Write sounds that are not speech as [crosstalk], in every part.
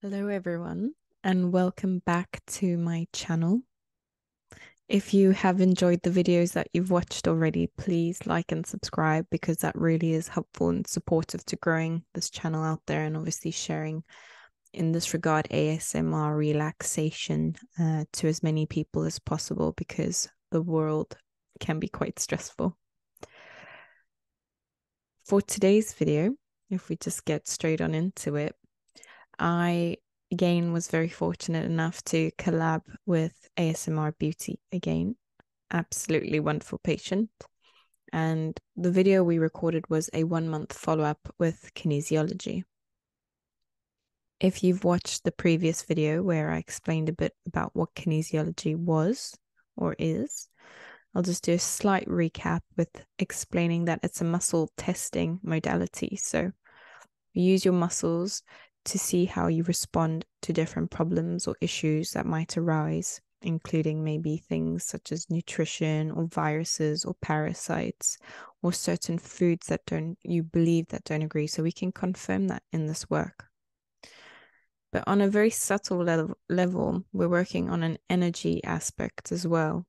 Hello, everyone, and welcome back to my channel. If you have enjoyed the videos that you've watched already, please like and subscribe because that really is helpful and supportive to growing this channel out there and obviously sharing, in this regard, ASMR relaxation uh, to as many people as possible because the world can be quite stressful for today's video, if we just get straight on into it, I again was very fortunate enough to collab with ASMR Beauty again. Absolutely wonderful patient. And the video we recorded was a one month follow up with kinesiology. If you've watched the previous video where I explained a bit about what kinesiology was, or is. I'll just do a slight recap with explaining that it's a muscle testing modality. So use your muscles to see how you respond to different problems or issues that might arise, including maybe things such as nutrition or viruses or parasites or certain foods that don't you believe that don't agree. So we can confirm that in this work. But on a very subtle level, level, we're working on an energy aspect as well.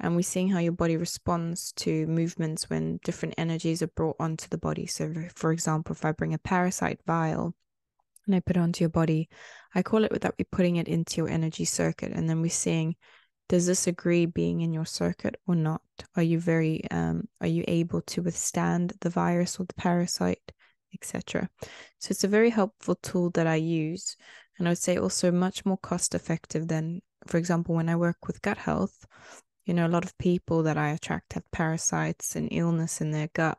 And we're seeing how your body responds to movements when different energies are brought onto the body. So, for example, if I bring a parasite vial and I put it onto your body, I call it that we're putting it into your energy circuit. And then we're seeing does this agree being in your circuit or not? Are you very, um, are you able to withstand the virus or the parasite? etc. So it's a very helpful tool that I use. And I would say also much more cost effective than, for example, when I work with gut health. You know, a lot of people that I attract have parasites and illness in their gut.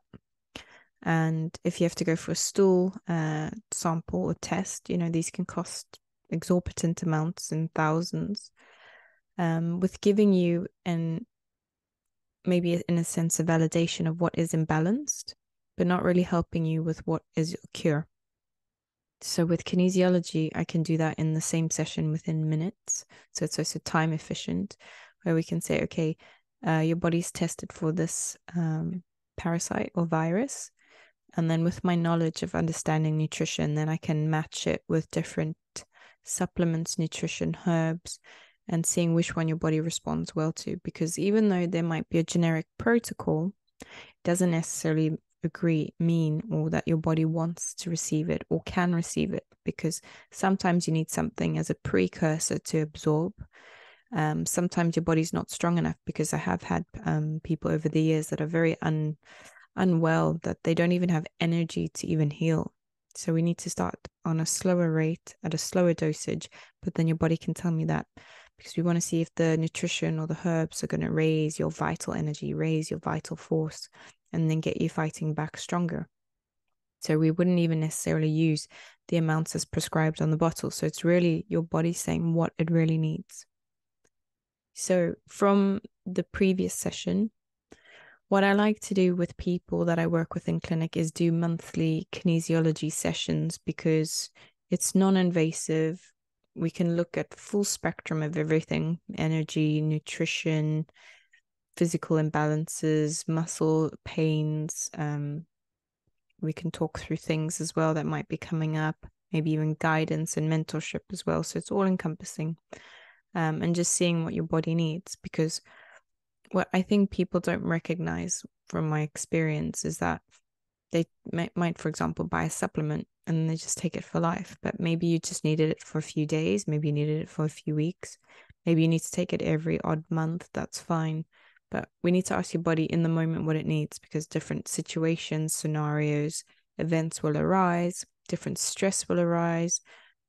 And if you have to go for a stool uh, sample or test, you know, these can cost exorbitant amounts in thousands. Um, with giving you an maybe in a sense a validation of what is imbalanced but not really helping you with what is your cure. So, with kinesiology, I can do that in the same session within minutes. So, it's also time efficient, where we can say, okay, uh, your body's tested for this um, parasite or virus. And then, with my knowledge of understanding nutrition, then I can match it with different supplements, nutrition, herbs, and seeing which one your body responds well to. Because even though there might be a generic protocol, it doesn't necessarily agree, mean, or that your body wants to receive it or can receive it. Because sometimes you need something as a precursor to absorb. Um, sometimes your body's not strong enough because I have had um, people over the years that are very un, unwell, that they don't even have energy to even heal. So we need to start on a slower rate, at a slower dosage, but then your body can tell me that because we want to see if the nutrition or the herbs are going to raise your vital energy, raise your vital force, and then get you fighting back stronger. So we wouldn't even necessarily use the amounts as prescribed on the bottle. So it's really your body saying what it really needs. So from the previous session, what I like to do with people that I work with in clinic is do monthly kinesiology sessions because it's non invasive. We can look at full spectrum of everything energy, nutrition, physical imbalances, muscle pains. Um, we can talk through things as well that might be coming up, maybe even guidance and mentorship as well. So it's all encompassing. Um, and just seeing what your body needs because what I think people don't recognize from my experience is that they might, for example, buy a supplement and they just take it for life. But maybe you just needed it for a few days, maybe you needed it for a few weeks, maybe you need to take it every odd month. That's fine. But we need to ask your body in the moment what it needs because different situations, scenarios, events will arise, different stress will arise,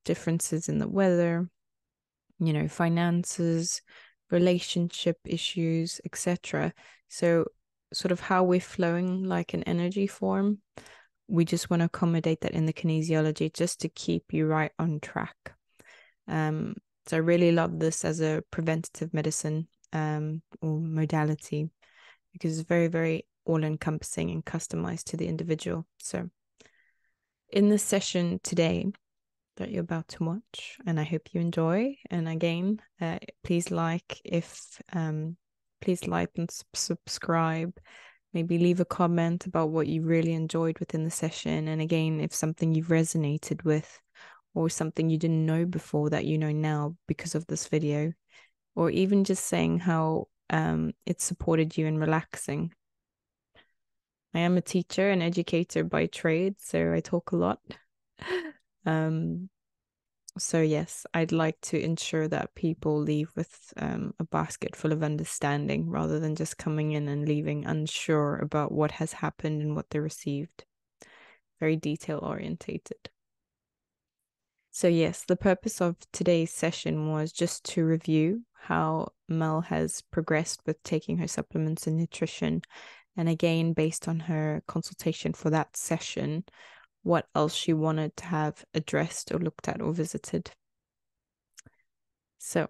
differences in the weather, you know finances relationship issues etc so sort of how we're flowing like an energy form we just want to accommodate that in the kinesiology just to keep you right on track um, so i really love this as a preventative medicine um, or modality because it's very very all encompassing and customized to the individual so in this session today that you're about to watch and i hope you enjoy and again uh, please like if um, please like and subscribe maybe leave a comment about what you really enjoyed within the session and again if something you have resonated with or something you didn't know before that you know now because of this video or even just saying how um, it supported you in relaxing I am a teacher and educator by trade, so I talk a lot. um, so, yes, I'd like to ensure that people leave with um, a basket full of understanding rather than just coming in and leaving unsure about what has happened and what they received. Very detail orientated. So, yes, the purpose of today's session was just to review how Mel has progressed with taking her supplements and nutrition. And again, based on her consultation for that session, what else she wanted to have addressed or looked at or visited. So,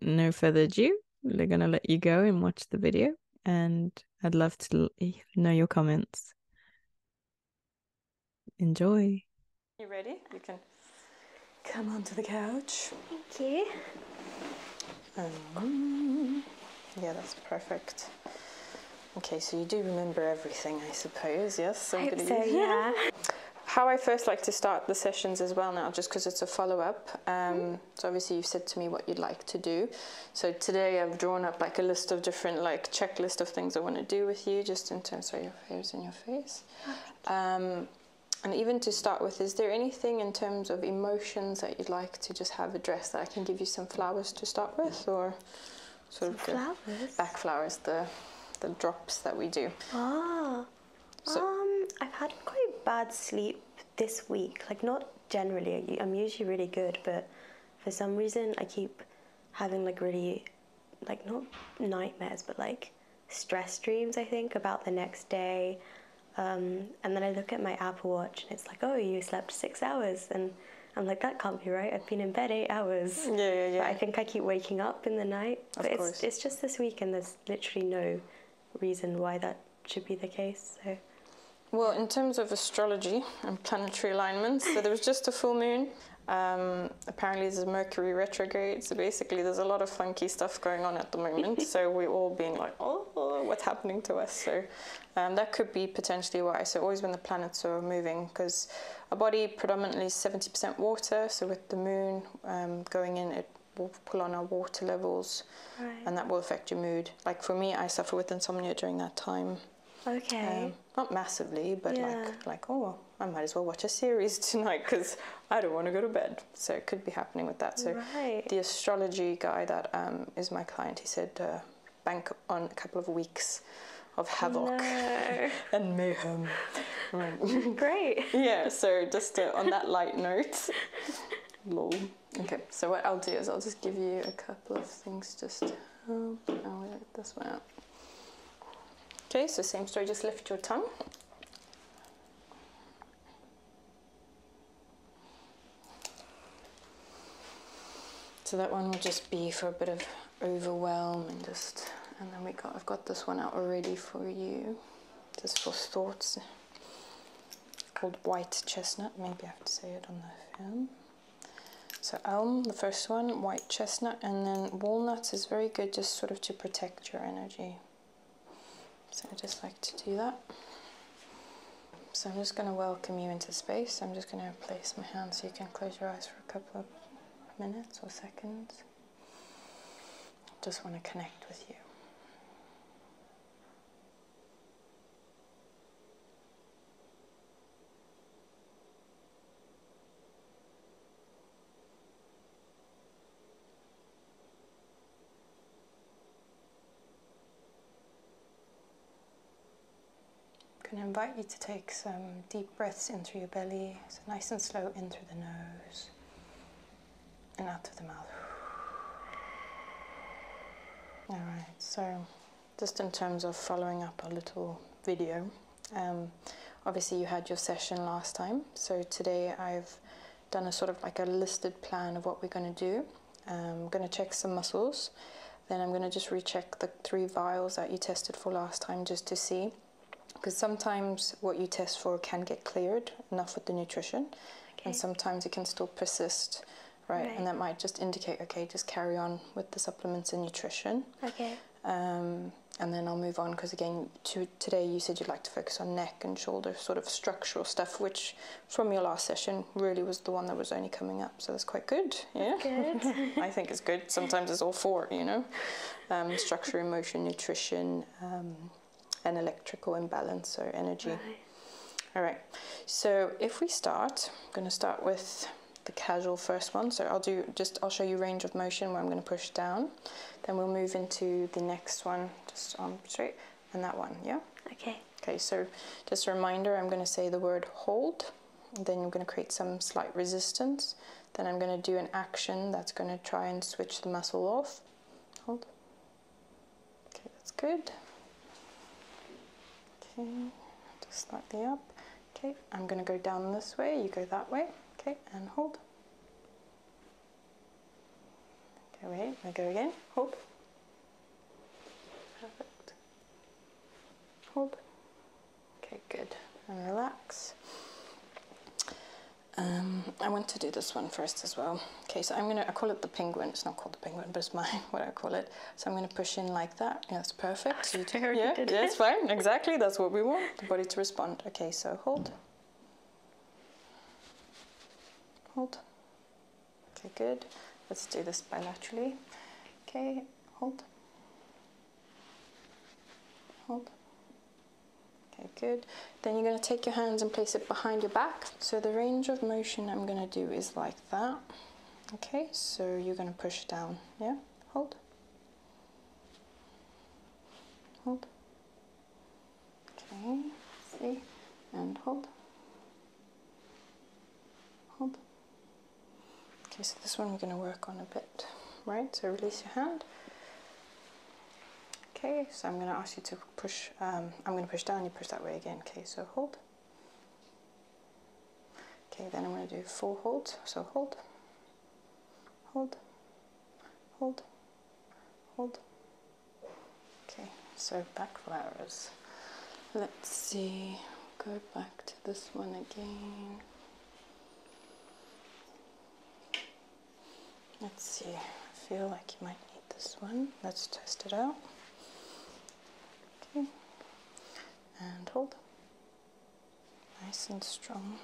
no further ado, we're going to let you go and watch the video. And I'd love to know your comments. Enjoy. You ready? You can Come onto the couch. Thank you. Um, yeah, that's perfect. Okay, so you do remember everything, I suppose, yes? I'm yeah. How I first like to start the sessions as well now, just because it's a follow-up. Um, mm-hmm. So obviously you've said to me what you'd like to do. So today I've drawn up like a list of different like checklist of things I want to do with you, just in terms of your hairs and your face and even to start with, is there anything in terms of emotions that you'd like to just have addressed that I can give you some flowers to start with or sort of flowers? back flowers, the, the drops that we do? Ah, um, I've had quite bad sleep this week, like not generally, I'm usually really good, but for some reason I keep having like really, like not nightmares, but like stress dreams, I think, about the next day um, and then I look at my Apple Watch and it's like, oh, you slept six hours. And I'm like, that can't be right. I've been in bed eight hours. Yeah, yeah, yeah. I think I keep waking up in the night. Of course. It's, just this week and there's literally no reason why that should be the case. So. Well, in terms of astrology and planetary alignments, so there was just a full moon. Um, apparently, there's Mercury retrograde. So basically, there's a lot of funky stuff going on at the moment. [laughs] so we're all being like, oh, what's happening to us? So um, that could be potentially why. So always when the planets are moving, because our body predominantly is 70% water. So with the moon um, going in, it will pull on our water levels, and that will affect your mood. Like for me, I suffer with insomnia during that time. Okay. Um, not massively, but like like oh, I might as well watch a series [laughs] tonight because I don't want to go to bed. So it could be happening with that. So the astrology guy that um, is my client, he said uh, bank on a couple of weeks of havoc [laughs] and mayhem. Great. [laughs] yeah. So just uh, on that light note. [laughs] Lol. Okay. So what I'll do is I'll just give you a couple of things just help. this one out. Okay. So same story. Just lift your tongue. So that one will just be for a bit of overwhelm and just, and then we got, I've got this one out already for you, just for thoughts, called White Chestnut, maybe I have to say it on the film. So elm, the first one, white chestnut, and then walnuts is very good just sort of to protect your energy. So I just like to do that. So I'm just going to welcome you into space. I'm just going to place my hand so you can close your eyes for a couple of minutes or seconds. Just want to connect with you. I'm going to invite you to take some deep breaths into your belly, so nice and slow in through the nose and out of the mouth. All right, so just in terms of following up a little video, um, obviously you had your session last time, so today I've done a sort of like a listed plan of what we're going to do. I'm um, going to check some muscles. Then I'm going to just recheck the three vials that you tested for last time just to see. Because sometimes what you test for can get cleared enough with the nutrition. And sometimes it can still persist, right? right? And that might just indicate, okay, just carry on with the supplements and nutrition. Okay. Um, and then I'll move on because again to today you said you'd like to focus on neck and shoulder sort of structural stuff which from your last session really was the one that was only coming up. So that's quite good. Yeah. [laughs] I think it's good. Sometimes it's all four, you know. Um, structure, emotion, nutrition, um, and electrical imbalance, so energy. All right. So if we start, I'm going to start with the casual first one. So I'll do just, I'll show you range of motion where I'm going to push down. Then we'll move into the next one, just arm straight and that one, yeah? Okay. Okay, so just a reminder, I'm going to say the word hold, then I'm going to create some slight resistance, then I'm going to do an action that's going to try and switch the muscle off. Hold. Okay, that's good. Okay, just slightly up. Okay, I'm going to go down this way, you go that way. Okay, and hold. Okay, away. Now go again. Hop. Perfect. Hop. Okay, good. And relax. Um, I want to do this one first as well. Okay, so I'm gonna, I call it the penguin. It's not called the penguin, but it's my [laughs] what I call it. So I'm gonna push in like that. Yeah, that's perfect. [laughs] yeah, yeah, that's fine. Exactly, that's what we want, the body to respond. Okay, so hold. Hold. Okay, good. Let's do this bilaterally. Okay, hold. Hold. Okay, good. Then you're going to take your hands and place it behind your back. So the range of motion I'm going to do is like that. Okay, so you're going to push down. Yeah, hold. Hold. Okay, see, and hold. Hold. Okay, so this one we're going to work on a bit, right? So release your hand. Okay, so I'm going to ask you to push, um, I'm going to push down, you push that way again. Okay, so hold. Okay, then I'm going to do four holds. So hold, hold, hold, hold, Okay, so back flowers. Let's see, go back to this one again. Let's see, I feel like you might need this one. Let's test it out. Okay, and hold. Nice and strong.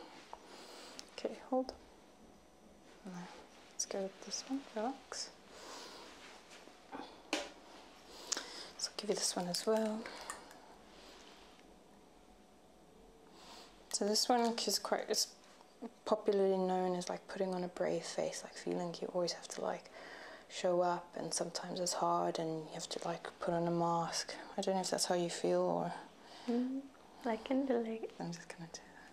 Okay, hold. Let's go with this one, relax. So I'll give you this one as well. So this one is quite it's popularly known as like putting on a brave face, like feeling you always have to like show up and sometimes it's hard and you have to like put on a mask. I don't know if that's how you feel or mm, I can relate. I'm just gonna do that.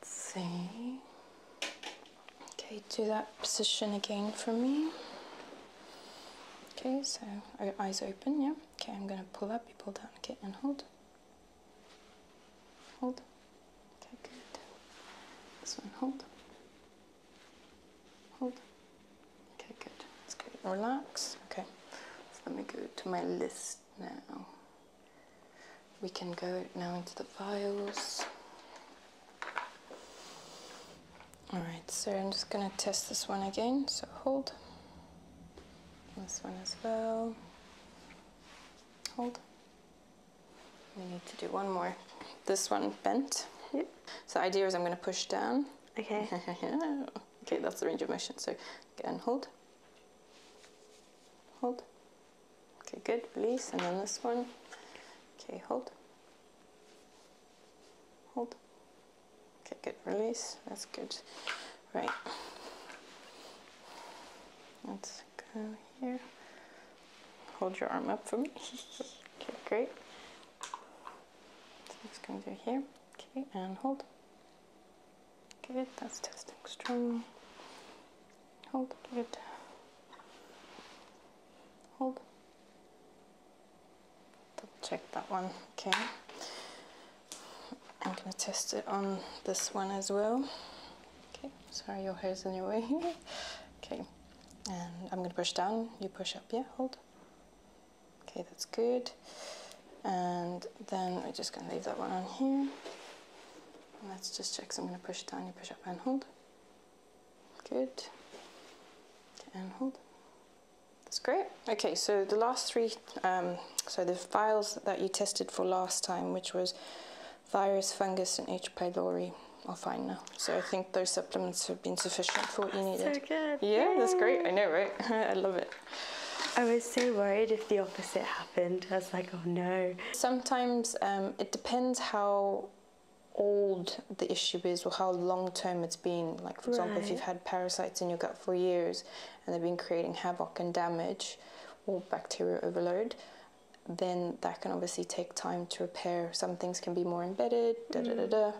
Let's see. Okay, do that position again for me. Okay, so oh, eyes open, yeah. Okay, I'm gonna pull up, you pull down, okay, and hold. Hold. Okay, good. This one, hold. Hold. Okay, good. Let's relax. Okay, so let me go to my list now. We can go now into the files. Alright, so I'm just going to test this one again, so hold. This one as well. Hold. We need to do one more. This one bent. Yep. So the idea is I'm going to push down. Okay. [laughs] okay, that's the range of motion. So again, hold. Hold. Okay, good, release, and then this one. Okay, hold. Hold. Okay, good, release, that's good. Right. Let's go here. Hold your arm up for me. [laughs] okay, great. So it's going through here. Okay, and hold. Good, that's testing strong. Hold, good. Hold. check that one, okay. I'm gonna test it on this one as well. Okay, sorry your hair's in your way. [laughs] okay, and I'm gonna push down, you push up, yeah, hold. Okay, that's good. And then we're just gonna leave that one on here. Let's just check. So I'm going to push down, you push up and hold. Good. And hold. That's great. Okay, so the last three, um, so the files that you tested for last time, which was virus, fungus, and H. pylori, are fine now. So I think those supplements have been sufficient for what you needed. So good. Yeah, that's great. I know, right? [laughs] I love it. I was so worried if the opposite happened. I was like, oh no. Sometimes um, it depends how old the issue is or how long term it's been. Like, for example, if you've had parasites in your gut for years and they've been creating havoc and damage or bacterial overload, then that can obviously take time to repair. Some things can be more embedded, da da da mm. da.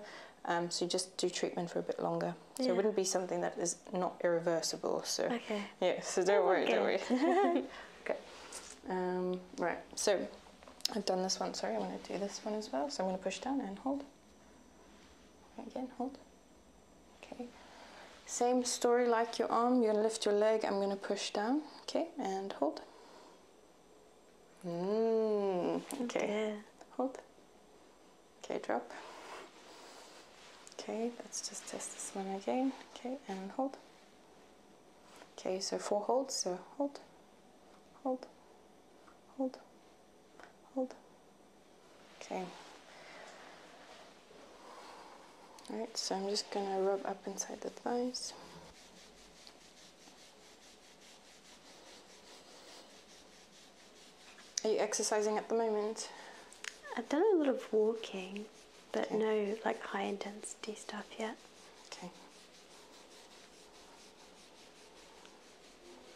Um, so you just do treatment for a bit longer. So it wouldn't be something that is not irreversible. So okay. yeah, so don't worry, don't worry. [laughs] [laughs] Okay. Um, right, so I've done this one. Sorry, I want to do this one as well. So I'm going to push down and hold. Again, hold. Okay. Same story like your arm. You're going to lift your leg. I'm going to push down. Okay, and hold. Mm, oh, okay. Hold. Okay, drop. Okay, let's just test this one again. Okay, and hold. Okay, so four holds, so hold, hold, hold, hold. Okay. Alright, so I'm just gonna rub up inside the thighs. Are you exercising at the moment? I've done a lot of walking but no like high intensity stuff yet. Okay.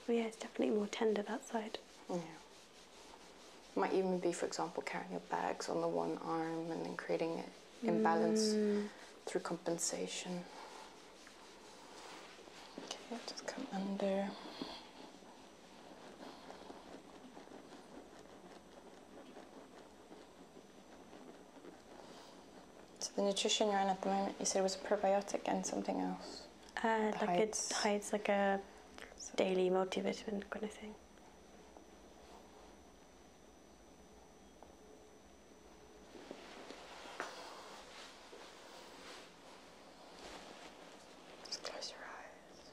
Well, yeah, it's definitely more tender that side. Yeah. Might even be, for example, carrying your bags on the one arm and then creating an imbalance mm. through compensation. Okay, just come under. So the nutrition you're on at the moment, you said was a probiotic and something else. Uh, like heights. hides like a daily multivitamin kind of thing. close your eyes.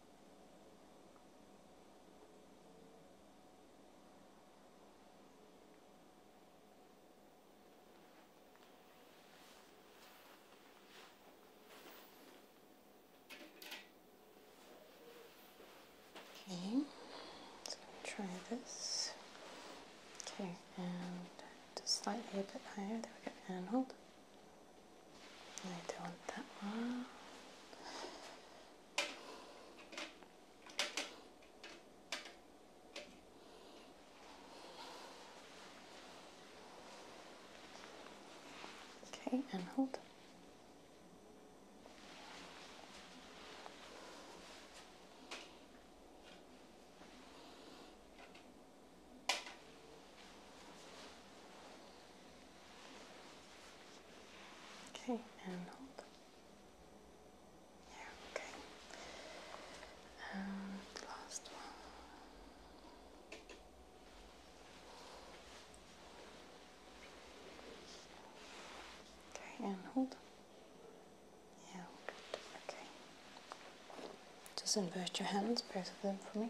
Okay, Let's try this. Okay, and just slightly a bit higher. There we go. And hold. I don't want that one. Okay, and hold. Okay, and hold. Yeah, okay. And last one. Okay, and hold. Yeah, Okay. Just invert your hands, both of them for me.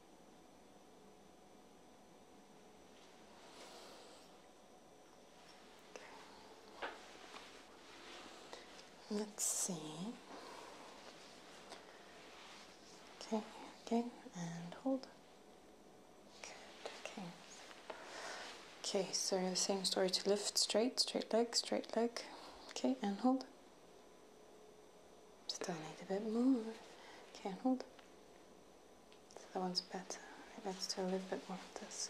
Let's see. Okay, Okay, and hold. Good, okay. Okay, so same story to lift, straight, straight leg, straight leg. Okay, and hold. Still need a bit more. Can't hold. So that one's better. Let's do a little bit more of this.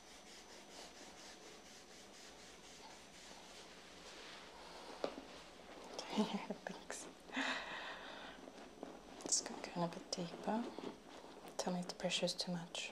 Thanks. Let's go in a bit deeper. Tell me if the pressure is too much.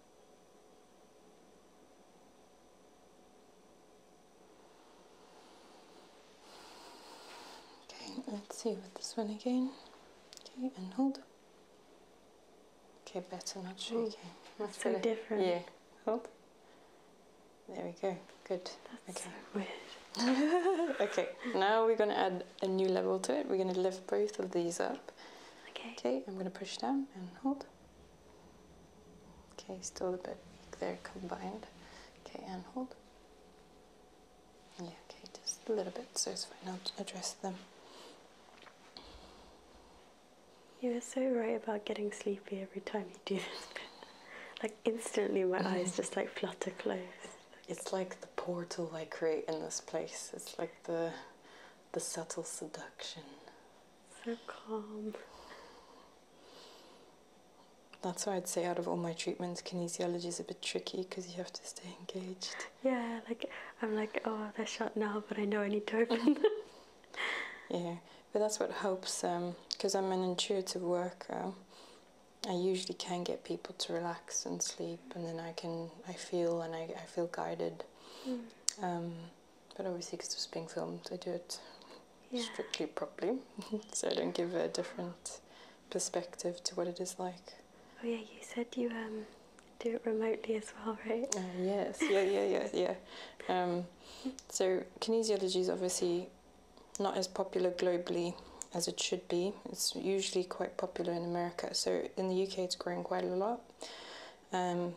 Okay, let's see with this one again. Okay, and hold. Okay, better not shaking. That's so different. Yeah, hold. There we go. Good. That's okay. so weird. [laughs] okay, now we're going to add a new level to it. We're going to lift both of these up. Okay. Okay, I'm going to push down and hold. Okay, still a bit weak there combined. Okay, and hold. Yeah, okay, just a little bit, so it's fine. I'll address them. You are so right about getting sleepy every time you do [laughs] this. like instantly, my mm-hmm. eyes just like flutter close. It's like the portal I create in this place. It's like the the subtle seduction so calm. That's why I'd say out of all my treatments, kinesiology is a bit tricky because you have to stay engaged. Yeah, like I'm like, oh, they're shut now, but I know I need to open them. [laughs] yeah, but that's what helps because um, I'm an intuitive worker. I usually can get people to relax and sleep, and then I can I feel and I, I feel guided. Hmm. Um, but obviously, because it's being filmed, I do it strictly properly, [laughs] so I don't give a different perspective to what it is like. Oh yeah, you said you um do it remotely as well, right? Oh, yes, yeah, yeah, yeah, [laughs] yeah. Um, so kinesiology is obviously not as popular globally as it should be. It's usually quite popular in America. So in the UK, it's growing quite a lot. Um,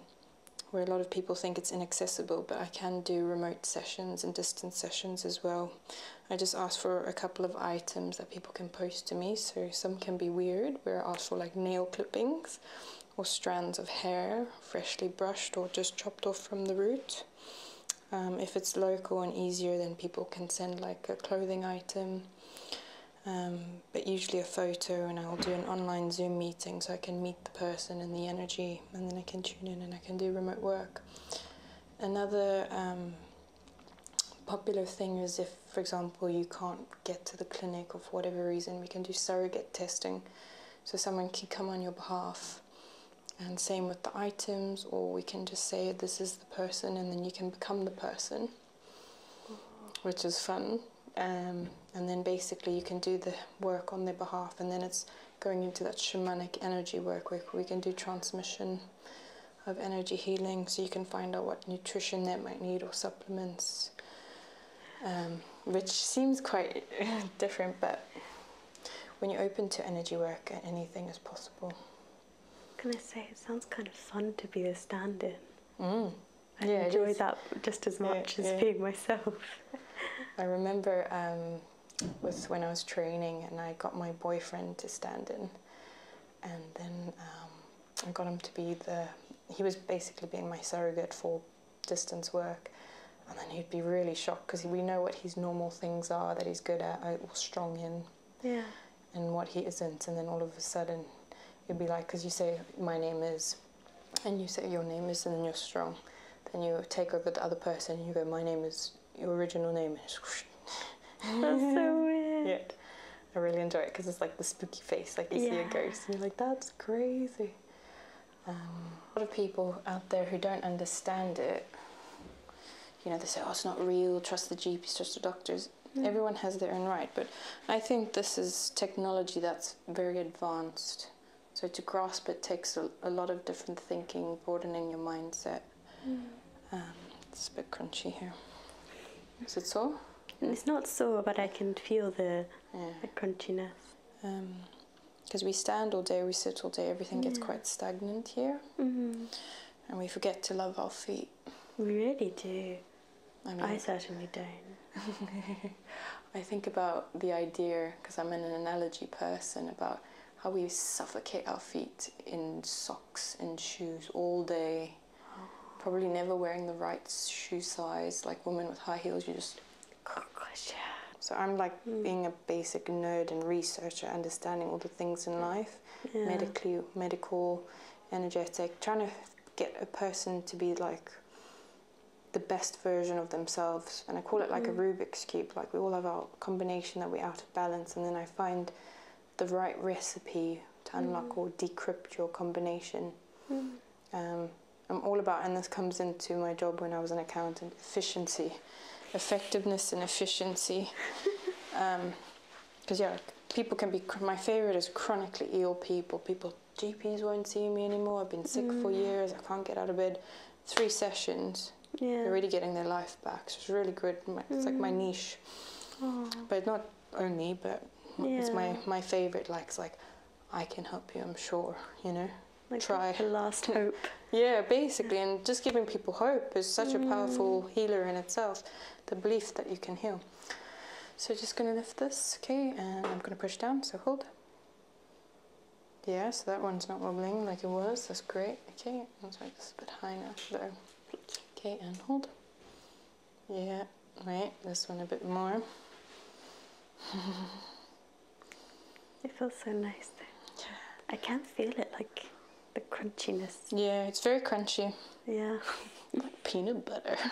where a lot of people think it's inaccessible, but I can do remote sessions and distance sessions as well. I just ask for a couple of items that people can post to me. So some can be weird, We're ask for like nail clippings or strands of hair, freshly brushed or just chopped off from the root. Um, if it's local and easier, then people can send like a clothing item. Um, but usually a photo and I'll do an online Zoom meeting so I can meet the person and the energy and then I can tune in and I can do remote work. Another um, popular thing is if, for example, you can't get to the clinic or for whatever reason, we can do surrogate testing. So someone can come on your behalf and same with the items or we can just say this is the person and then you can become the person, which is fun. Um, and then basically you can do the work on their behalf and then it's going into that shamanic energy work where we can do transmission of energy healing so you can find out what nutrition they might need or supplements um, which seems quite [laughs] different but when you're open to energy work anything is possible Can i say it sounds kind of fun to be a stand-in mm. I enjoy that just as much as being myself. I remember um, when I was training and I got my boyfriend to stand in, and then um, I got him to be the. He was basically being my surrogate for distance work, and then he'd be really shocked because we know what his normal things are that he's good at or uh, strong in, yeah, and what he isn't, and then all of a sudden you'd be like, because you say, my name is, and you say your name is, and then you're strong. Then you take over the other person and you go, my name is, your original name [laughs] That's so weird. Yeah. I really enjoy it because it's like the spooky face, like you see a ghost and you're like, that's crazy. Um, a lot of people out there who don't understand it, you know, they say, oh, it's not real, trust the GPs, trust the doctors. Mm. Everyone has their own right, but I think this is technology that's very advanced. So to grasp it takes a, a lot of different thinking, broadening your mindset. Hmm. Um, it's a bit crunchy here. Is it so? Mm, it's not so, but I can feel the, the crunchiness. Because um, we stand all day, we sit all day, everything gets quite stagnant here. Mm-hmm. And we forget to love our feet. We really do. I, certainly don't. [laughs] I think about the idea, because I'm an analogy person, about how we suffocate our feet in socks and shoes all day, probably never wearing the right shoe size. Like women with high heels, you just. So I'm like hmm. being a basic nerd and researcher, understanding all the things in life, medically, medical, energetic, trying to get a person to be like the best version of themselves. And I call it like a mm. Rubik's Cube, like we all have our combination that we're out of balance, and then I find the right recipe to unlock mm. or decrypt your combination. Mm. Um, I'm all about, and this comes into my job when I was an accountant efficiency, effectiveness, and efficiency. Because, [laughs] um, yeah, people can be, my favorite is chronically ill people, people GPs won't see me anymore. I've been sick for mm. years. I can't get out of bed. Three sessions. They're really getting their life back. So it's really good. It's like my mm. niche. But not only, but it's my, my favorite. Like, it's like, I can help you, I'm sure, you know? Try. The last [laughs] hope. yeah, basically. And just giving people hope is such a powerful mm. healer in itself. The belief that you can heal. So just going to lift this, okay? And I'm going to push down. So hold. Yeah, so that one's not wobbling like it was. That's great. Okay, I'm sorry, this is a bit high now. There. Okay, and hold. Yeah, right. This one a bit more. [laughs] it feels so nice. Though. I can feel it, like the crunchiness. Yeah, it's very crunchy. Yeah. [laughs] like peanut butter. [laughs]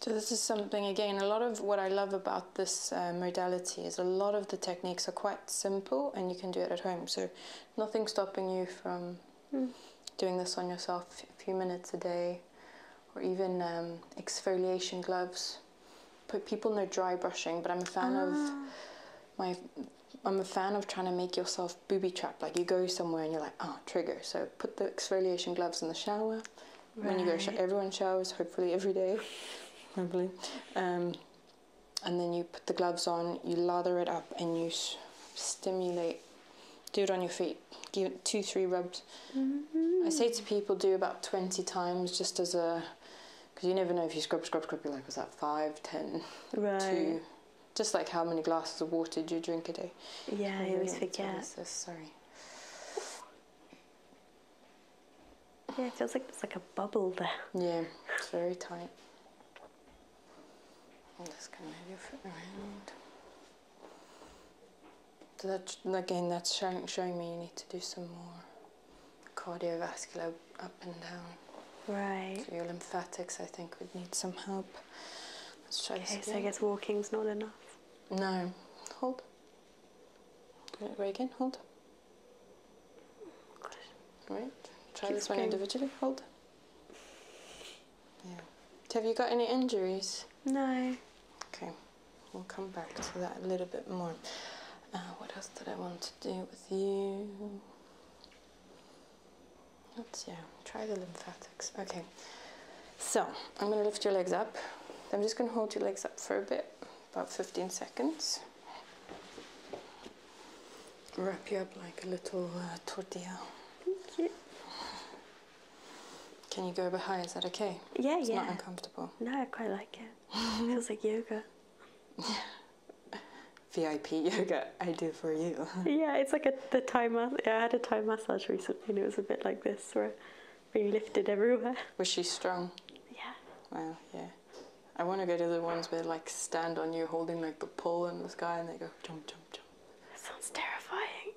So this is something again, a lot of what I love about this uh, modality is a lot of the techniques are quite simple and you can do it at home. So nothing stopping you from hmm. doing this on yourself a few minutes a day or even um, exfoliation gloves. Put people in their dry brushing, but I'm a fan of ah. my I'm a fan of trying to make yourself booby trapped. Like you go somewhere and you're like, oh, trigger. So put the exfoliation gloves in the shower. When you go, everyone showers hopefully every day, hopefully. Um, and then you put the gloves on, you lather it up, and you stimulate. Do it on your feet. Give it two, three rubs. Mm-hmm. I say to people, do about 20 times just as a because you never know if you scrub, scrub, scrub. You're like, was that five, ten, two? Just like how many glasses of water do you drink a day? Yeah, I always forget. sorry. Yeah, it feels like it's like a bubble there. Yeah, it's very tight. I'm just gonna move your foot around. that again, that's showing me you need to do some more cardiovascular up and down. Right. your lymphatics, I think, would need some help. Let's try okay, so I guess walking's not enough. No. Hold. Right again. Hold. Gosh. Right. Try this one individually. Hold. Yeah. Have you got any injuries? No. Okay. We'll come back to that a little bit more. Uh, what else did I want to do with you? Let's yeah, try the lymphatics. Okay. So I'm gonna lift your legs up. I'm just gonna hold your legs up for a bit, about 15 seconds. Wrap you up like a little uh, tortilla. Can you go a bit Is that okay? Yeah, it's yeah. Not uncomfortable. No, I quite like it. [laughs] Feels like yoga. [laughs] VIP yoga I do for you. [laughs] yeah, it's like a the time. I had a time massage recently, and it was a bit like this, where we lifted everywhere. [laughs] Was she strong? Yeah. Well, Yeah. I want to go to the ones where like stand on you, holding like the pole in the sky, and they go jump, jump, jump. That sounds terrifying.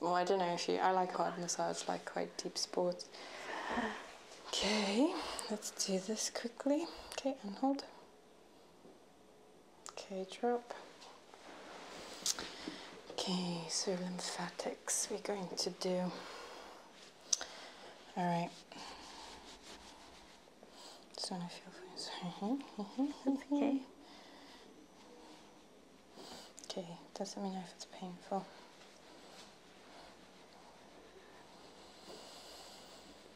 Well, I don't know if you. I like hard massage, like quite deep sports. [sighs] Okay, let's do this quickly. Okay, and hold. Okay, drop. Okay, so lymphatics we're going to do. All right. Just want feel [laughs] Okay. Okay, doesn't mean if it's painful.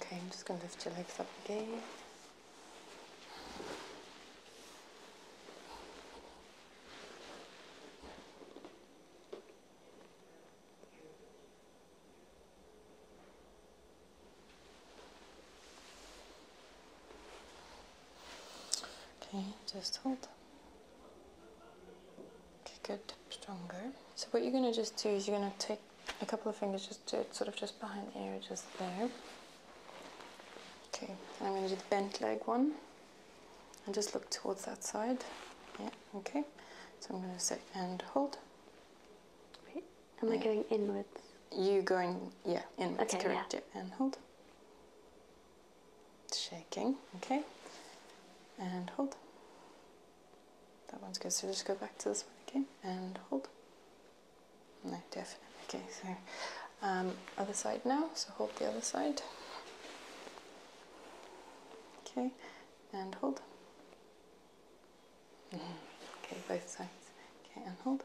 Okay, I'm just going to lift your legs up again. Okay, just hold. Okay, good, stronger. So what you're gonna just do is you're gonna take a couple of fingers just to sort of just behind the ear, just there. Okay, and I'm gonna do the bent leg one. And just look towards that side. Yeah, okay. So I'm gonna say and hold. Wait, am I going inwards? You going yeah, inwards, okay, correct, yeah. And hold shaking okay and hold that one's good so just go back to this one again and hold no definitely okay so um, other side now so hold the other side okay and hold [laughs] okay both sides okay and hold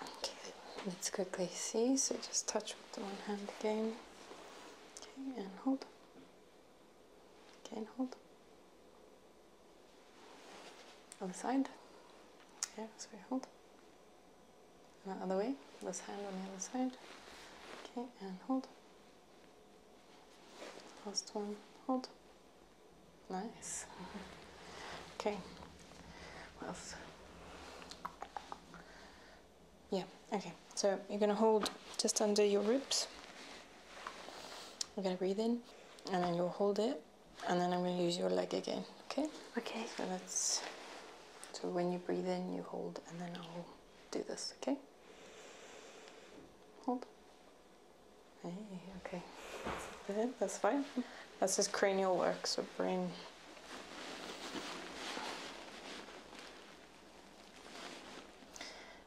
Okay, let's quickly see. So just touch with the one hand again. Okay, and hold. Again, hold. Other side. Yeah, so we hold. And other way. This hand on the other side. Okay, and hold. Last one, hold. Nice. [laughs] Okay. Yeah, okay. So you're gonna hold just under your ribs. you are gonna breathe in and then you'll hold it and then I'm gonna use your leg again. Okay? Okay. So that's so when you breathe in you hold and then I'll do this, okay? Hold. Hey, okay. That's fine. That's his cranial work, so brain.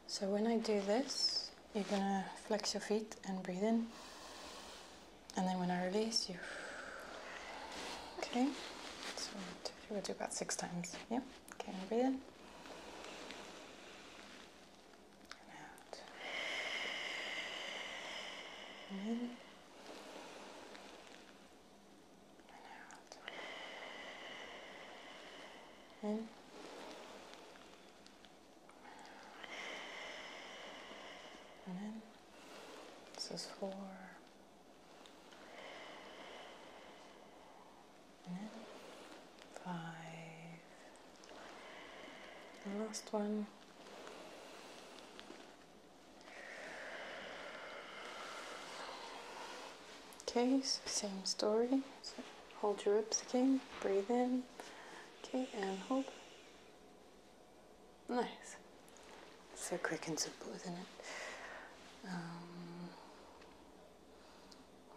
So when I do this, you're gonna flex your feet and breathe in. And then when I release, you. Okay, so we'll do about six times. Yeah, okay, and breathe in. And out. in and out. In. And in. This is four. And in. Five. And last one. Okay, same story. hold your ribs again, breathe in. Okay, and hold. Nice. So quick and simple, isn't it? Um,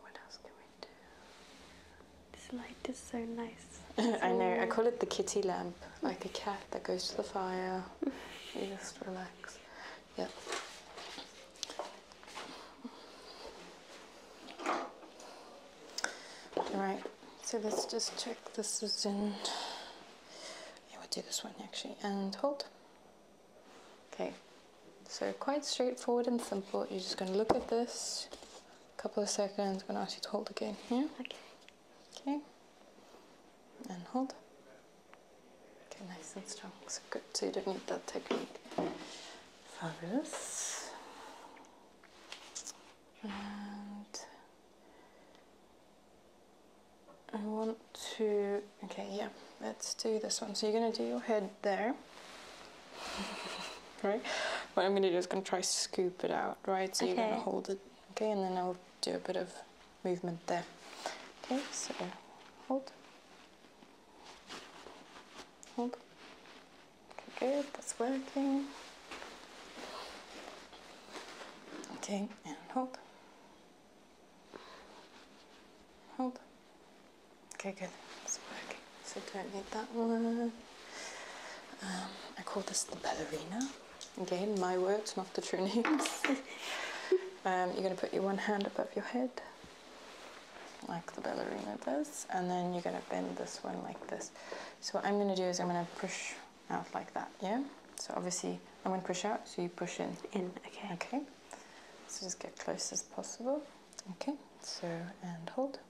what else can we do? This light is so nice. I know. I call it the kitty lamp, like a cat that goes to the fire. [laughs] you just relax. Yep. All right. So let's just check this is in. Yeah, we'll do this one actually. And hold. Okay. So quite straightforward and simple. You're just going to look at this. A couple of seconds. I'm going to ask you to hold again. here. Okay. Okay, and hold. Okay, nice and strong. So good. So you don't need that technique. Fabulous. And I want to. Okay, yeah. Let's do this one. So you're gonna do your head there. [laughs] right. What I'm gonna do is gonna try scoop it out. Right. So you're gonna hold it okay and then I'll do a bit of movement there okay so hold hold okay good that's working okay and hold hold okay good that's working so don't need that one um, I call this the ballerina Again, my words, not the true names. [laughs] Um, you're going to put your one hand above your head, like the ballerina does, and then you're going to bend this one like this. So, what I'm going to do is I'm going to push out like that, yeah? So, obviously, I'm going to push out, so you push in. In, okay. Okay. So, just get close as possible. Okay, so, and hold.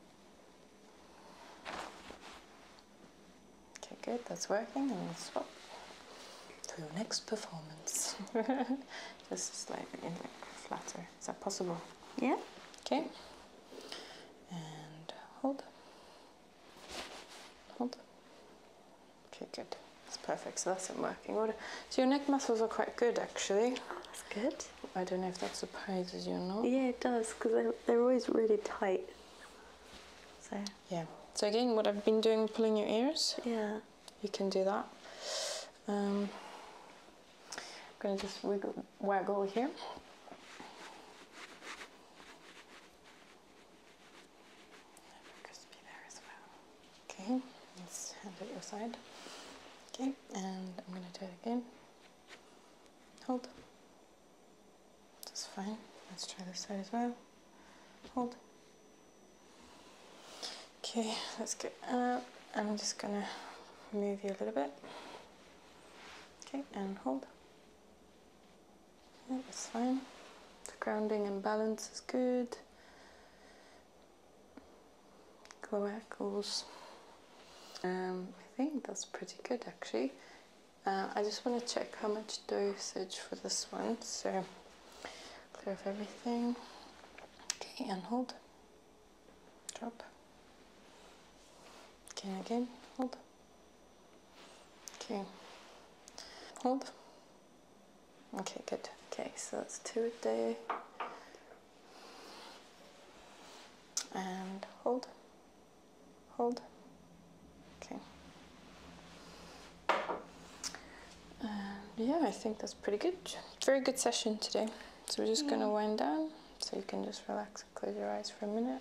Okay, good, that's working, and we'll swap for your next performance. Just slightly [laughs] in like flatter. Is that possible? Yeah. Okay. And hold. Hold. Okay, good. That's perfect. So that's in working order. So your neck muscles are quite good actually. That's good. I don't know if that surprises you or not. Yeah, it does, because they're always really tight. So yeah. So again, what I've been doing, pulling your ears. Yeah. You can do that. Um, I'm gonna just wiggle, waggle here. Okay. Let's hand it your side. Okay, and I'm gonna do it again. Hold. That's fine. Let's try this side as well. Hold. Okay, let's get up. I'm just gonna move you a little bit. Okay, and hold. that's fine. The grounding and balance is good. Cloacals. Um, I think that's pretty good actually. Uh, I just want to check how much dosage for this one. So clear of everything. Okay, and hold. Drop. Okay, again, hold. Okay, hold. Okay, good. Okay, so that's two a day. And hold. Hold. Okay. Uh, yeah, I think that's pretty good. Very good session today. So we're just gonna wind down so you can just relax and close your eyes for a minute.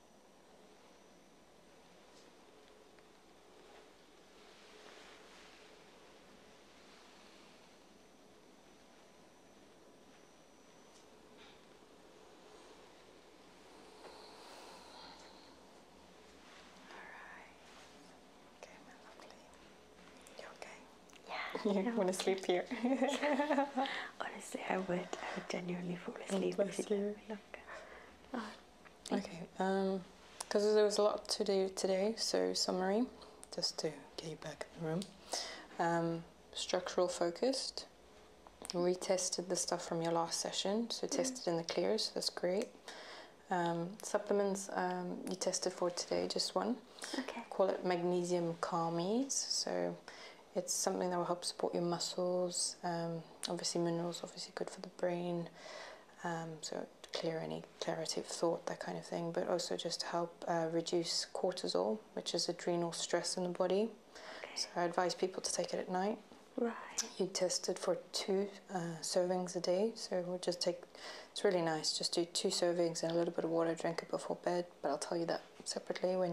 right. Okay, my lovely. You okay? Yeah. [laughs] You want to sleep here? [laughs] [laughs] Honestly, I would. I would genuinely fall asleep. Bless if you. Look. Okay, because um, there was a lot to do today, so summary, just to get you back in the room. Um, structural focused, retested the stuff from your last session, so mm. tested in the clears, that's great. Um, supplements um, you tested for today, just one. Okay. Call it magnesium calmies, so it's something that will help support your muscles, um, obviously, minerals obviously good for the brain, um, so clear any clarity of thought, that kind of thing. But also just to help uh, reduce cortisol, which is adrenal stress in the body. So I advise people to take it at night. Right. You it for two uh, servings a day, so we'll just take. It's really nice. Just do two servings and a little bit of water. Drink it before bed, but I'll tell you that separately when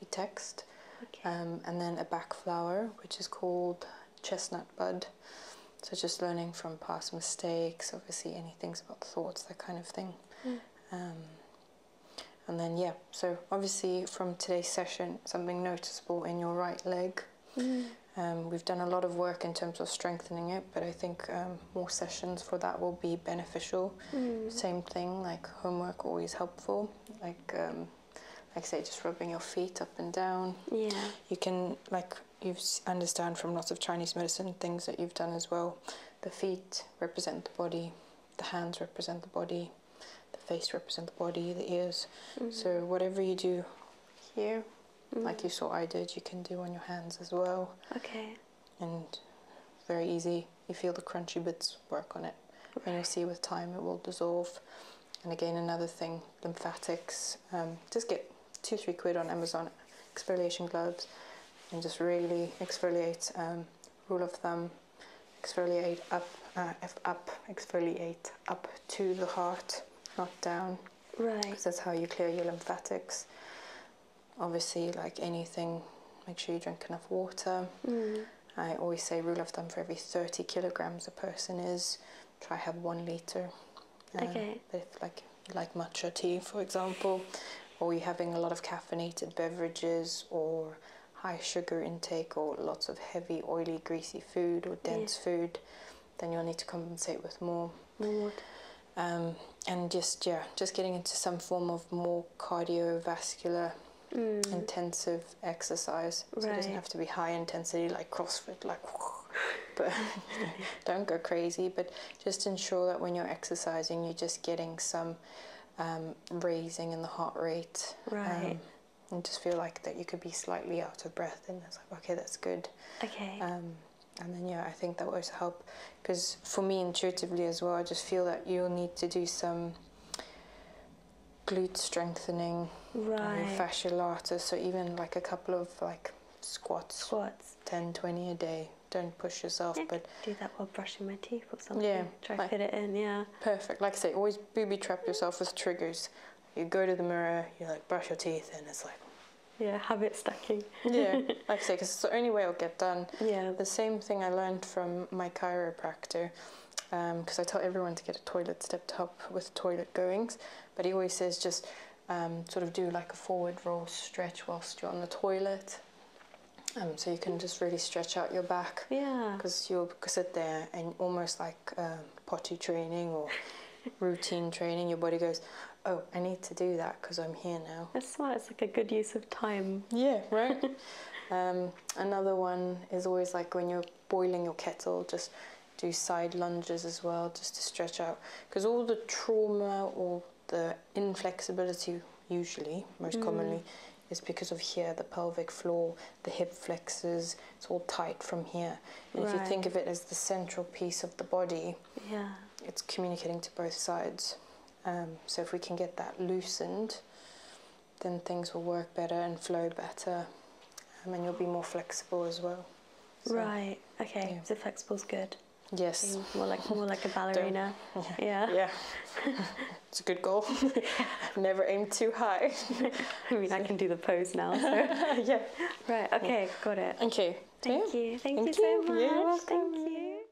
we text. Okay. Um, and then a back flower, which is called chestnut bud. So just learning from past mistakes, obviously anything's about thoughts, that kind of thing. Mm. Um, and then yeah, so obviously from today's session, something noticeable in your right leg. Mm. Um, we've done a lot of work in terms of strengthening it, but I think um, more sessions for that will be beneficial. Mm. Same thing, like homework always helpful. Like like I say, just rubbing your feet up and down. Yeah. You can, like you understand from lots of Chinese medicine things that you've done as well, the feet represent the body, the hands represent the body, the face represent the body, the ears. Mm-hmm. So whatever you do here, mm-hmm. like you saw I did, you can do on your hands as well. Okay. And very easy. You feel the crunchy bits work on it. And I see with time it will dissolve. And again, another thing, lymphatics. Um, just get two, three quid on Amazon exfoliation gloves and just really exfoliate. rule um, of thumb, exfoliate up, uh, up, exfoliate up to the heart, not down. Right. Because that's how you clear your lymphatics. Obviously, like anything, make sure you drink enough water. Mm. I always say rule of thumb for every 30 kilograms a person is, try have one liter. Uh, okay. If like like matcha tea, for example, or you're having a lot of caffeinated beverages or high sugar intake or lots of heavy, oily, greasy food or dense food, then you'll need to compensate with more. More um, and just yeah, just getting into some form of more cardiovascular Mm. intensive exercise. So it doesn't have to be high intensity like CrossFit, like, [laughs] but [laughs] don't go crazy. But just ensure that when you're exercising, you're just getting some um, raising in the heart rate. Right. Um, and just feel like that you could be slightly out of breath, and that's like, okay, that's good. Okay. Um, and then yeah, I think that will help because for me intuitively as well, I just feel that you'll need to do some glute strengthening, right. Um, So even like a couple of like squats, squats, 10, 20 a day. Don't push yourself, but do that while brushing my teeth or something. Yeah, try like, fit it in. Yeah, perfect. Like I say, always booby trap yourself with triggers. You go to the mirror, you like brush your teeth, and it's like yeah, habit stacking. yeah, [laughs] like I say, because it's the only way it'll get done. Yeah. The same thing I learned from my chiropractor because um, I tell everyone to get a toilet step up with toilet goings, but he always says just um, sort of do like a forward roll stretch whilst you're on the toilet. Um, so you can just really stretch out your back. Yeah. Because you'll sit there and almost like uh, potty training or [laughs] routine training, your body goes, oh, I need to do that because I'm here now. That's smart. It's like a good use of time. Yeah, right? [laughs] another one is always like when you're boiling your kettle, just do side lunges as well just to stretch out because all the trauma or the inflexibility usually most mm. commonly is because of here the pelvic floor the hip flexors it's all tight from here if you think of it as the central piece of the body yeah it's communicating to both sides um, so if we can get that loosened then things will work better and flow better um, and you'll be more flexible as well. right, okay, The flexible is good. Yes. more like more like a [laughs] ballerina. yeah. Yeah. [laughs] it's a good goal. [laughs] Never aim too high. I can do the pose now. So. yeah. Right. Okay. Got it. Okay. Thank you. Thank, you. Thank, you so much. Thank you.